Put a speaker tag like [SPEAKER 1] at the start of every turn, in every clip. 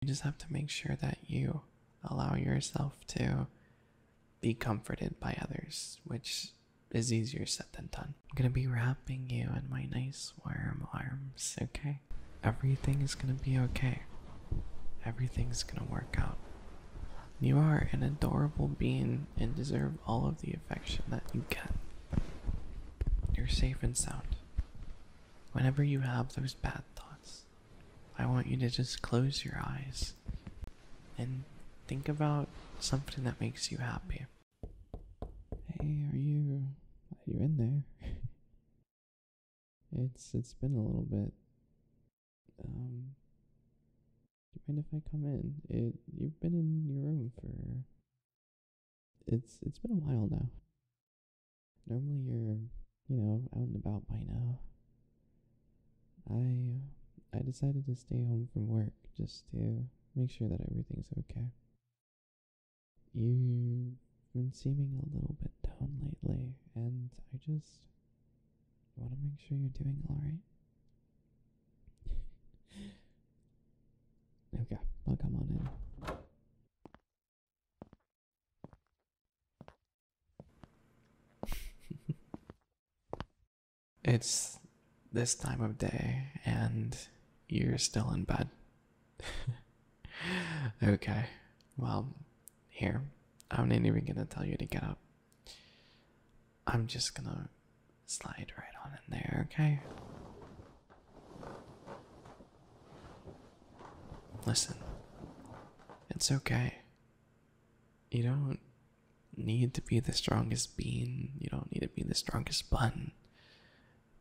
[SPEAKER 1] You just have to make sure that you allow yourself to be comforted by others, which is easier said than done. I'm gonna be wrapping you in my nice warm arms, okay? Everything is gonna be okay. Everything's gonna work out. You are an adorable being and deserve all of the affection that you get. You're safe and sound. Whenever you have those bad thoughts, I want you to just close your eyes and think about something that makes you happy. Hey, are you are in there? it's it's been a little bit. Um do you mind if I come in? It you've been in your room for it's it's been a while now. Normally you're, you know, out and about by now. I I decided to stay home from work just to make sure that everything's okay. You've been seeming a little bit down lately, and I just want to make sure you're doing alright. okay, I'll come on in. it's this time of day and you're still in bed. okay, well, here, I'm not even gonna tell you to get up. I'm just gonna slide right on in there, okay? Listen, it's okay. You don't need to be the strongest bean, you don't need to be the strongest bun.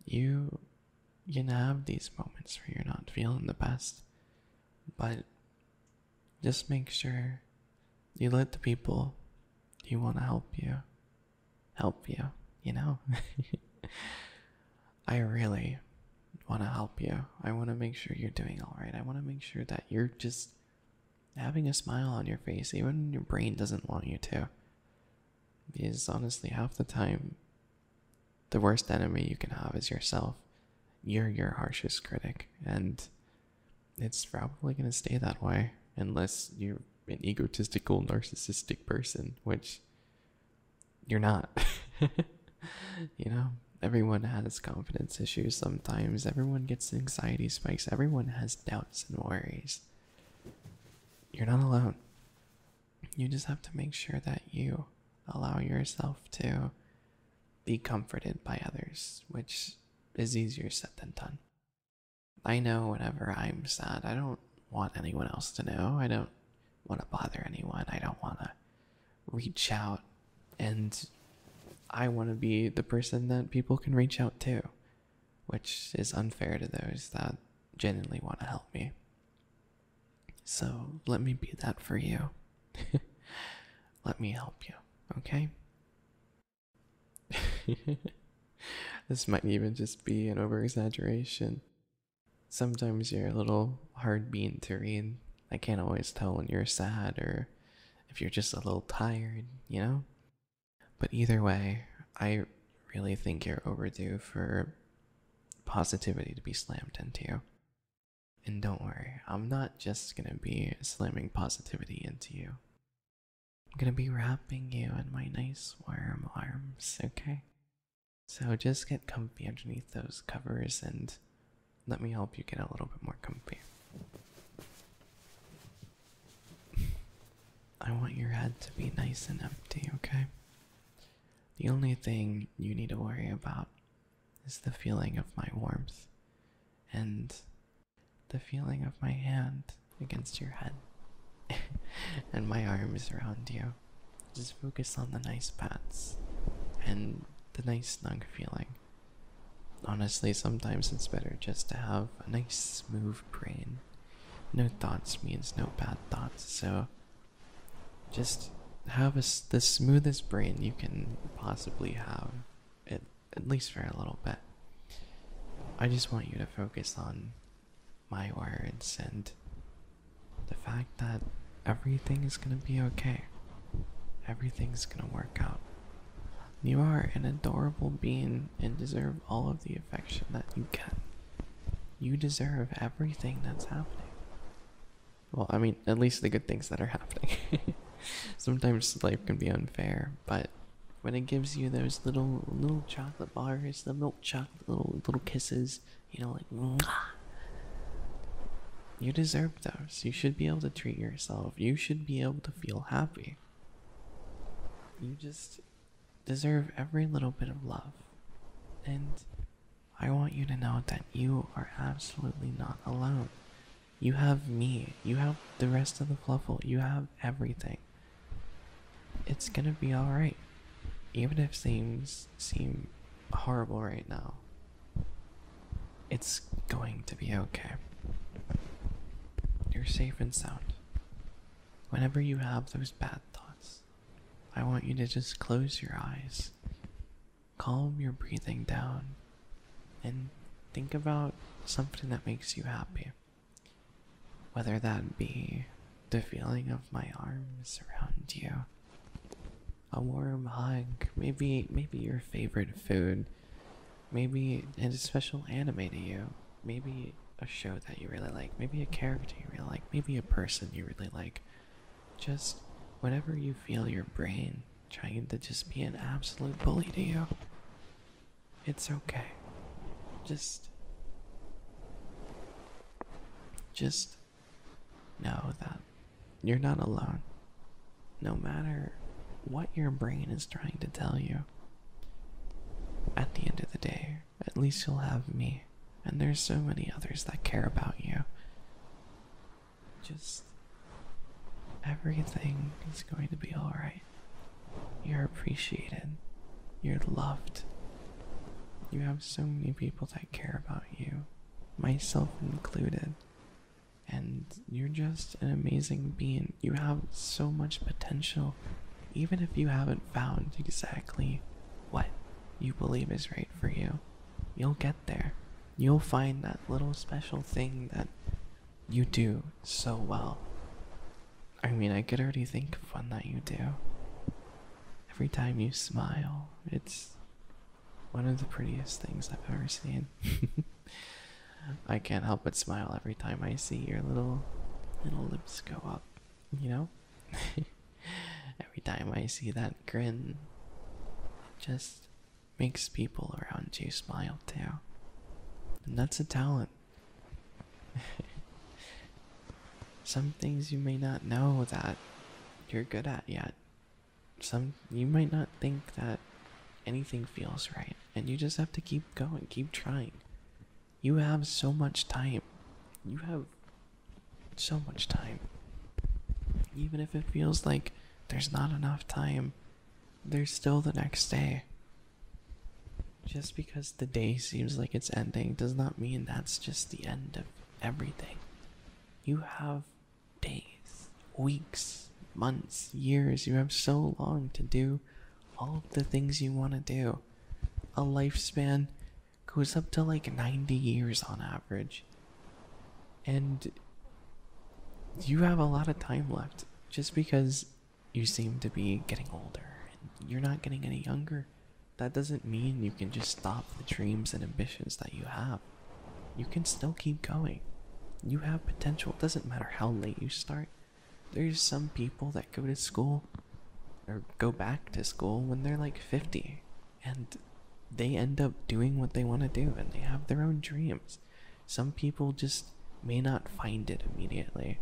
[SPEAKER 1] You can have these moments where you're not feeling the best, but just make sure you let the people you want to help you help you, you know? I really want to help you. I want to make sure you're doing all right. I want to make sure that you're just having a smile on your face, even when your brain doesn't want you to. Because honestly, half the time, the worst enemy you can have is yourself. You're your harshest critic, and it's probably going to stay that way unless you're an egotistical, narcissistic person, which you're not. you know, everyone has confidence issues sometimes. Everyone gets anxiety spikes. Everyone has doubts and worries. You're not alone. You just have to make sure that you allow yourself to be comforted by others, which is easier said than done. I know whenever I'm sad, I don't want anyone else to know. I don't want to bother anyone. I don't want to reach out. And I want to be the person that people can reach out to, which is unfair to those that genuinely want to help me. So let me be that for you. let me help you, okay? this might even just be an overexaggeration. Sometimes you're a little hard being to read. I can't always tell when you're sad or if you're just a little tired, you know? But either way, I really think you're overdue for positivity to be slammed into you. And don't worry, I'm not just gonna be slamming positivity into you. I'm gonna be wrapping you in my nice warm arms, okay? So just get comfy underneath those covers and let me help you get a little bit more comfy. I want your head to be nice and empty, okay? The only thing you need to worry about is the feeling of my warmth and the feeling of my hand against your head and my arms around you. Just focus on the nice pats and the nice snug feeling. Honestly, sometimes it's better just to have a nice smooth brain. No thoughts means no bad thoughts, so just have a, the smoothest brain you can possibly have, at least for a little bit. I just want you to focus on my words and the fact that everything is going to be okay. Everything's going to work out. You are an adorable being and deserve all of the affection that you get. You deserve everything that's happening. Well, I mean, at least the good things that are happening. Sometimes life can be unfair, but when it gives you those little little chocolate bars, the milk chocolate little little kisses, you know, like, you deserve those. You should be able to treat yourself. You should be able to feel happy. You just deserve every little bit of love. And I want you to know that you are absolutely not alone. You have me. You have the rest of the fluffle. You have everything. It's gonna be alright. Even if things seem horrible right now, it's going to be okay. You're safe and sound. Whenever you have those bad thoughts, I want you to just close your eyes, calm your breathing down, and think about something that makes you happy. Whether that be the feeling of my arms around you, a warm hug, maybe maybe your favorite food, maybe a special anime to you, maybe a show that you really like, maybe a character you really like, maybe a person you really like. Just whatever you feel your brain trying to just be an absolute bully to you. It's okay. Just just no, that you're not alone, no matter what your brain is trying to tell you. At the end of the day, at least you'll have me, and there's so many others that care about you. Just everything is going to be alright. You're appreciated, you're loved. You have so many people that care about you myself included. And you're just an amazing being. You have so much potential, even if you haven't found exactly what you believe is right for you. You'll get there. You'll find that little special thing that you do so well. I mean, I could already think of one that you do. Every time you smile, it's one of the prettiest things I've ever seen. I can't help but smile every time I see your little little lips go up, you know? every time I see that grin, it just makes people around you smile too. And that's a talent. Some things you may not know that you're good at yet, some you might not think that anything feels right and you just have to keep going keep trying you have so much time you have so much time even if it feels like there's not enough time there's still the next day just because the day seems like it's ending does not mean that's just the end of everything you have days, weeks, months, years. You have so long to do all of the things you want to do. A lifespan goes up to like 90 years on average. And you have a lot of time left just because you seem to be getting older and you're not getting any younger. That doesn't mean you can just stop the dreams and ambitions that you have. You can still keep going. You have potential. It doesn't matter how late you start. There's some people that go to school or go back to school when they're like 50 and they end up doing what they want to do and they have their own dreams. Some people just may not find it immediately.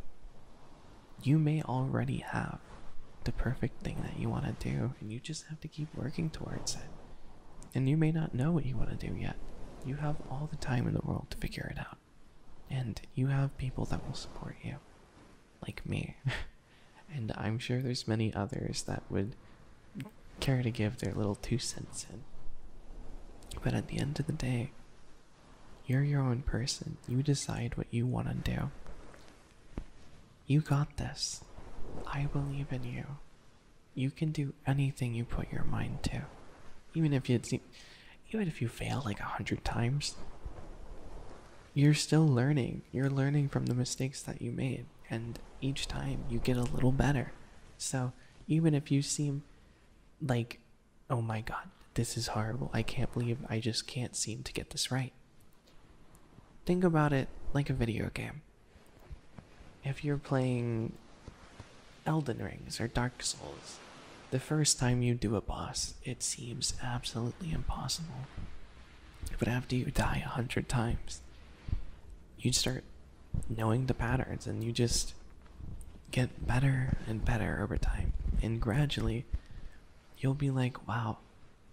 [SPEAKER 1] You may already have the perfect thing that you want to do and you just have to keep working towards it. And you may not know what you want to do yet. You have all the time in the world to figure it out. And you have people that will support you, like me. and I'm sure there's many others that would care to give their little two cents in. But at the end of the day, you're your own person. You decide what you want to do. You got this. I believe in you. You can do anything you put your mind to, even if you even if you fail like a hundred times. You're still learning. You're learning from the mistakes that you made, and each time you get a little better. So even if you seem like, oh my god, this is horrible. I can't believe I just can't seem to get this right. Think about it like a video game. If you're playing Elden Rings or Dark Souls, the first time you do a boss, it seems absolutely impossible. But after you die a hundred times, you start knowing the patterns and you just get better and better over time. And gradually, you'll be like, wow,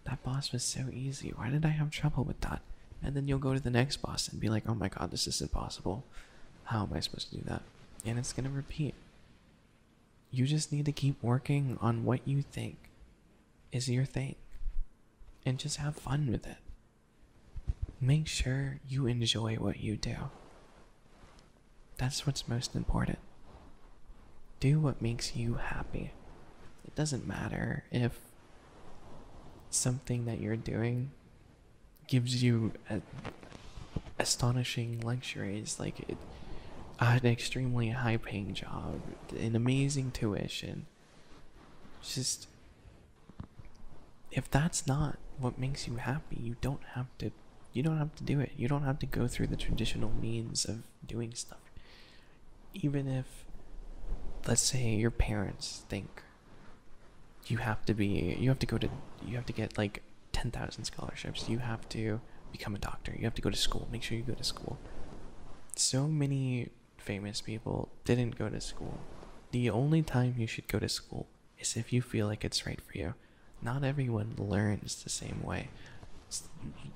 [SPEAKER 1] that boss was so easy. Why did I have trouble with that? And then you'll go to the next boss and be like, oh my god, this is impossible. How am I supposed to do that? And it's going to repeat. You just need to keep working on what you think is your thing and just have fun with it. Make sure you enjoy what you do. That's what's most important. Do what makes you happy. It doesn't matter if something that you're doing gives you astonishing luxuries like an extremely high paying job, an amazing tuition. just if that's not what makes you happy, you don't have to you don't have to do it. You don't have to go through the traditional means of doing stuff even if let's say your parents think you have to be you have to go to you have to get like 10,000 scholarships you have to become a doctor you have to go to school make sure you go to school so many famous people didn't go to school the only time you should go to school is if you feel like it's right for you not everyone learns the same way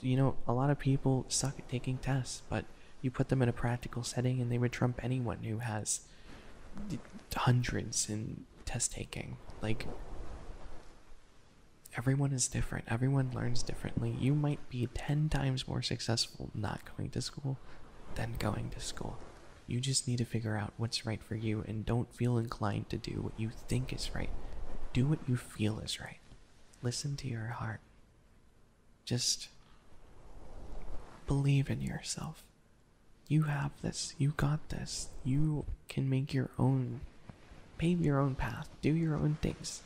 [SPEAKER 1] you know a lot of people suck at taking tests but you put them in a practical setting, and they would trump anyone who has hundreds in test taking. Like, everyone is different, everyone learns differently. You might be 10 times more successful not going to school than going to school. You just need to figure out what's right for you and don't feel inclined to do what you think is right. Do what you feel is right. Listen to your heart. Just believe in yourself. You have this. You got this. You can make your own, pave your own path, do your own things.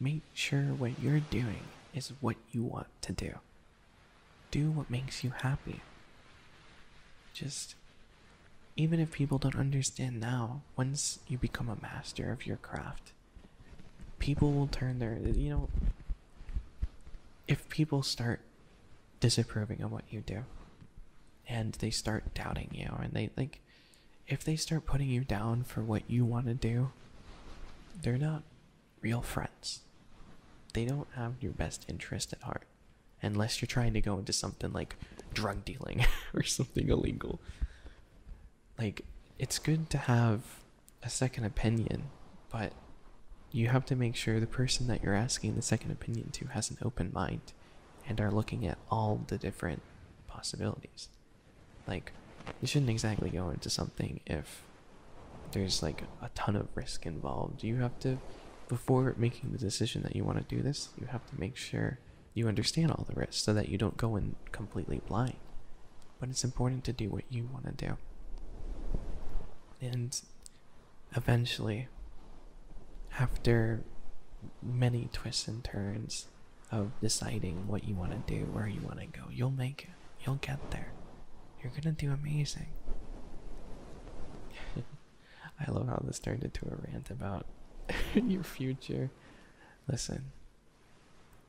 [SPEAKER 1] Make sure what you're doing is what you want to do. Do what makes you happy. Just, even if people don't understand now, once you become a master of your craft, people will turn their you know if people start disapproving of what you do and they start doubting you and they like if they start putting you down for what you want to do they're not real friends they don't have your best interest at heart unless you're trying to go into something like drug dealing or something illegal like it's good to have a second opinion, but you have to make sure the person that you're asking the second opinion to has an open mind and are looking at all the different possibilities. Like, you shouldn't exactly go into something if there's like a ton of risk involved. You have to, before making the decision that you want to do this, you have to make sure you understand all the risks so that you don't go in completely blind. But it's important to do what you want to do. And eventually, after many twists and turns of deciding what you want to do, where you want to go, you'll make it. You'll get there. You're going to do amazing. I love how this turned into a rant about your future. Listen,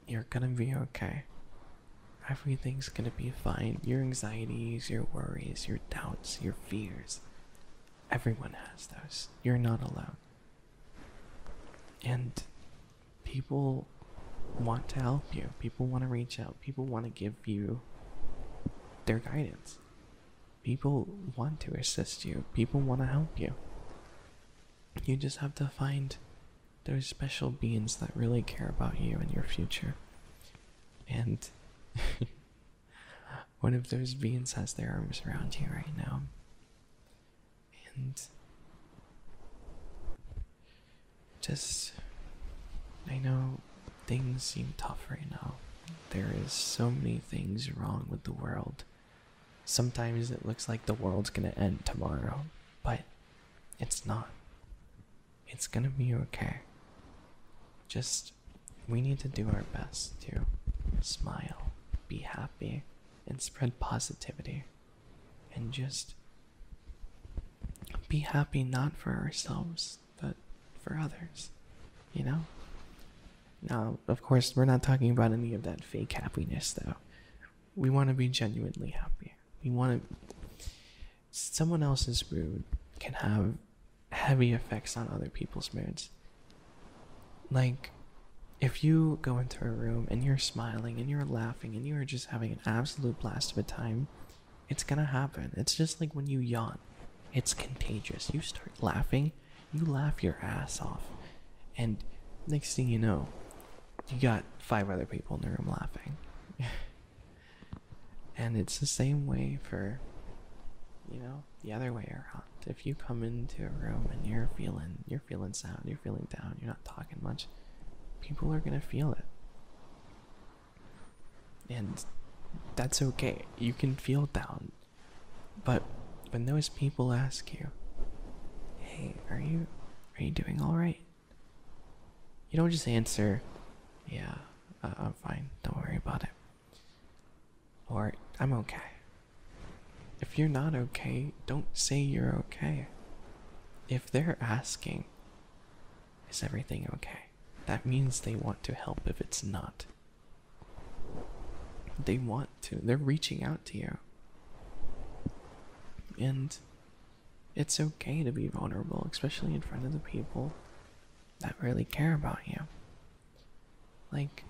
[SPEAKER 1] you're gonna be okay. Everything's gonna be fine. Your anxieties, your worries, your doubts, your fears. Everyone has those. You're not alone. And people want to help you, people want to reach out, people want to give you their guidance. People want to assist you, people want to help you. You just have to find those special beings that really care about you and your future. And one of those beings has their arms around you right now. And just, I know things seem tough right now. There is so many things wrong with the world. Sometimes it looks like the world's gonna end tomorrow, but it's not. It's gonna be okay. Just, we need to do our best to smile, be happy, and spread positivity. And just be happy not for ourselves, but for others, you know? Now, of course, we're not talking about any of that fake happiness, though we want to be genuinely happy. We want to. Someone else's mood can have heavy effects on other people's moods. Like, if you go into a room and you're smiling and you're laughing and you're just having an absolute blast of a time, it's gonna happen. It's just like when you yawn, it's contagious. You start laughing, you laugh your ass off, and next thing you know, you got five other people in the room laughing. and it's the same way for, you know, the other way around. If you come into a room and you're feeling, you're feeling sound, you're feeling down, you're not talking much, people are gonna feel it. And that's okay. You can feel down. But when those people ask you, "Hey, are you are you doing all right?" You don't just answer, yeah, uh, I'm fine, don't worry about it. Or, I'm okay. If you're not okay, don't say you're okay. If they're asking, is everything okay? That means they want to help if it's not. They want to, they're reaching out to you. And it's okay to be vulnerable, especially in front of the people that really care about you. Like,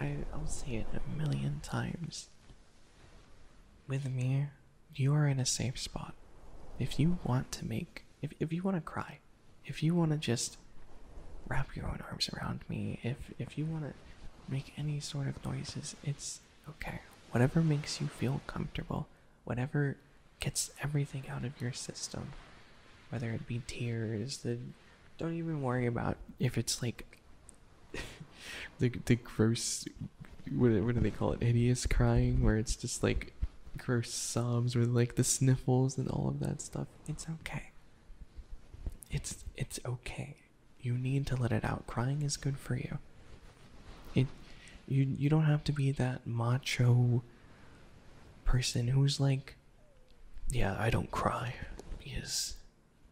[SPEAKER 1] I, will say it a million times. With me, you are in a safe spot. If you want to make, if, if you want to cry, if you want to just wrap your own arms around me, if, if you want to make any sort of noises, it's Okay, whatever makes you feel comfortable, whatever gets everything out of your system, whether it be tears, the don't even worry about if it's like the the gross what what do they call it hideous crying where it's just like gross sobs or like the sniffles and all of that stuff. It's okay. It's it's okay. You need to let it out. Crying is good for you. It you you don't have to be that macho person who's like yeah i don't cry because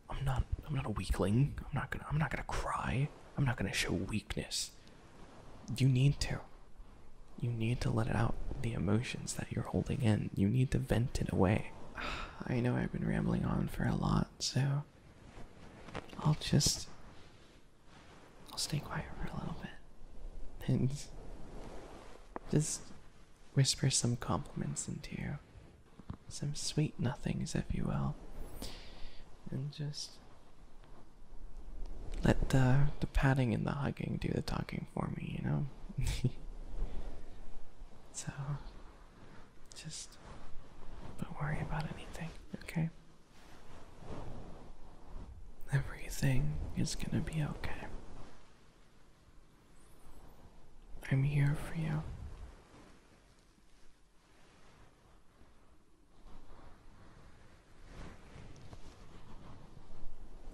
[SPEAKER 1] i'm not i'm not a weakling i'm not gonna i'm not gonna cry i'm not gonna show weakness you need to you need to let out the emotions that you're holding in you need to vent it away i know i've been rambling on for a lot so i'll just I'll stay quiet for a little bit and just whisper some compliments into you, some sweet nothings, if you will, and just let the the padding and the hugging do the talking for me, you know. so just don't worry about anything, okay? Everything is gonna be okay. I'm here for you.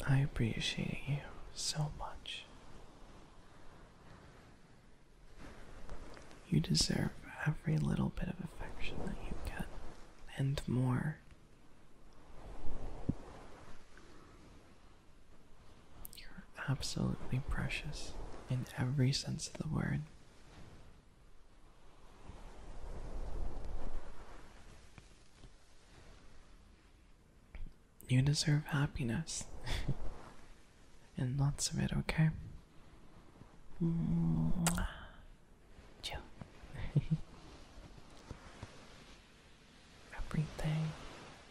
[SPEAKER 1] I appreciate you so much. You deserve every little bit of affection that you get, and more. You're absolutely precious in every sense of the word. You deserve happiness. and lots of it, okay? Chill. Everything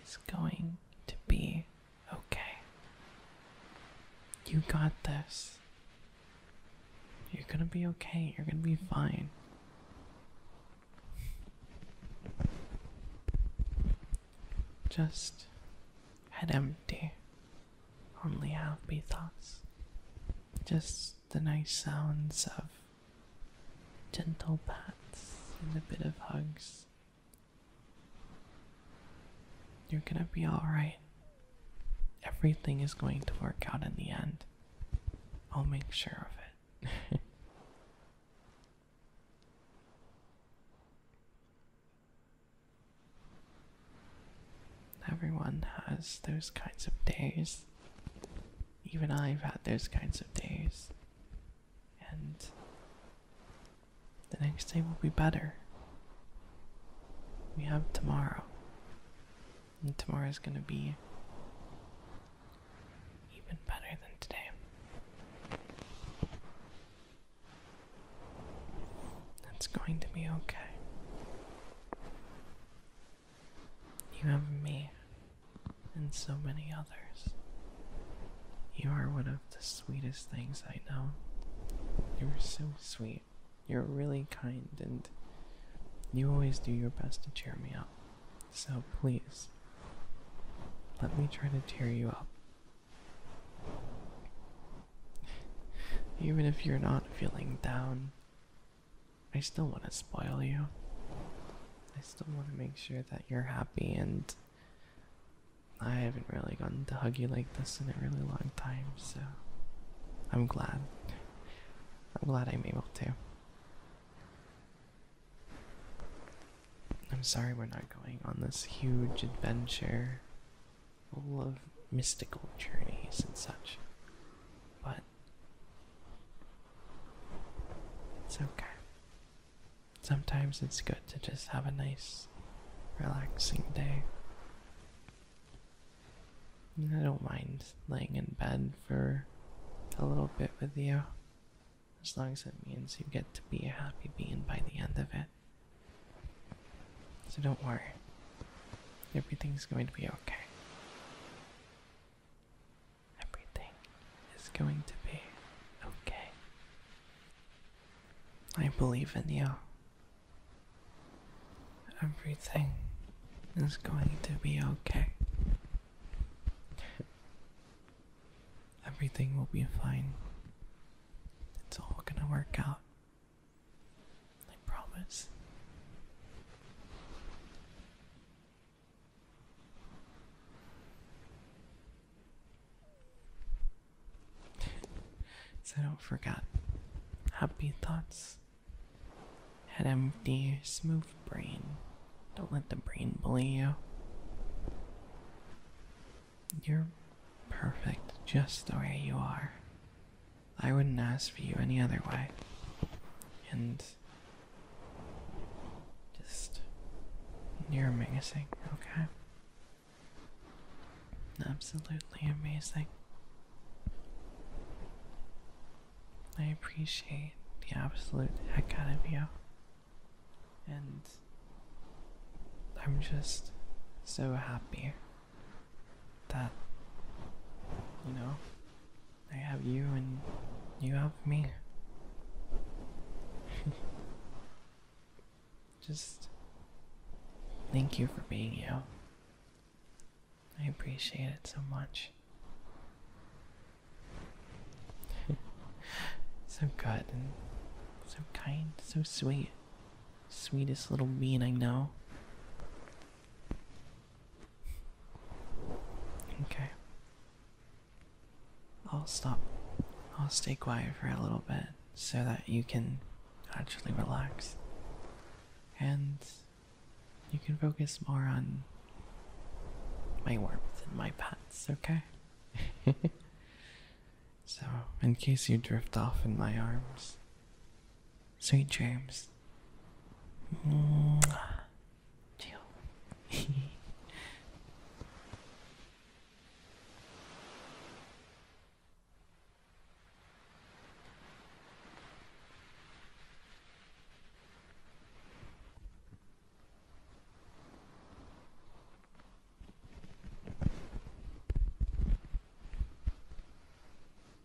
[SPEAKER 1] is going to be okay. You got this. You're gonna be okay. You're gonna be fine. Just head empty only happy thoughts. Just the nice sounds of gentle pats and a bit of hugs. You're gonna be alright. Everything is going to work out in the end. I'll make sure of it. Everyone has those kinds of days. Even I've had those kinds of days. And the next day will be better. We have tomorrow. And tomorrow is going to be even better than today. That's going to be okay. You have me and so many others. You are one of the sweetest things I know. You are so sweet. You're really kind and you always do your best to cheer me up. So please, let me try to cheer you up. Even if you're not feeling down, I still want to spoil you. I still want to make sure that you're happy, and I haven't really gotten to hug you like this in a really long time, so I'm glad. I'm glad I'm able to. I'm sorry we're not going on this huge adventure full of mystical journeys and such. But it's okay. Sometimes it's good to just have a nice, relaxing day. I don't mind laying in bed for a little bit with you, as long as it means you get to be a happy being by the end of it. So don't worry. Everything's going to be okay. Everything is going to be okay. I believe in you. Everything is going to be okay. Everything will be fine. It's all gonna work out. I promise. so don't forget. Happy thoughts. Head empty, smooth brain. Don't let the brain bully you. You're perfect just the way you are. I wouldn't ask for you any other way. And just you're amazing, okay? Absolutely amazing. I appreciate the absolute heck out of you. And I'm just so happy that you know I have you and you have me. Just thank you for being you. I appreciate it so much. so good and so kind, so sweet. Sweetest little bean I know. Okay. I'll stop. I'll stay quiet for a little bit so that you can actually relax. And you can focus more on my warmth and my pats. okay? so, in case you drift off in my arms, Sweet dreams. Chill.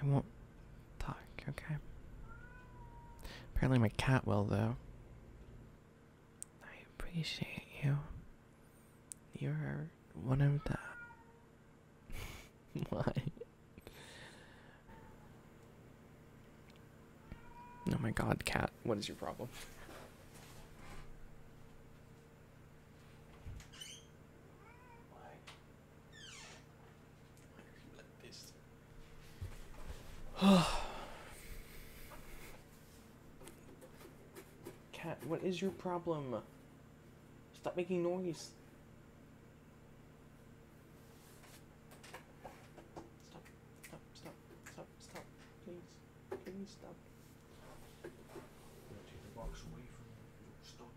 [SPEAKER 1] I won't talk, okay? Apparently my cat will, though. I appreciate you. You're one of the... Why? Oh my god, cat, what is your problem? Why? are you like this? cat, what is your problem? Stop making noise. Stop, stop, stop, stop, stop. Please, please stop. Take the box away from you stop.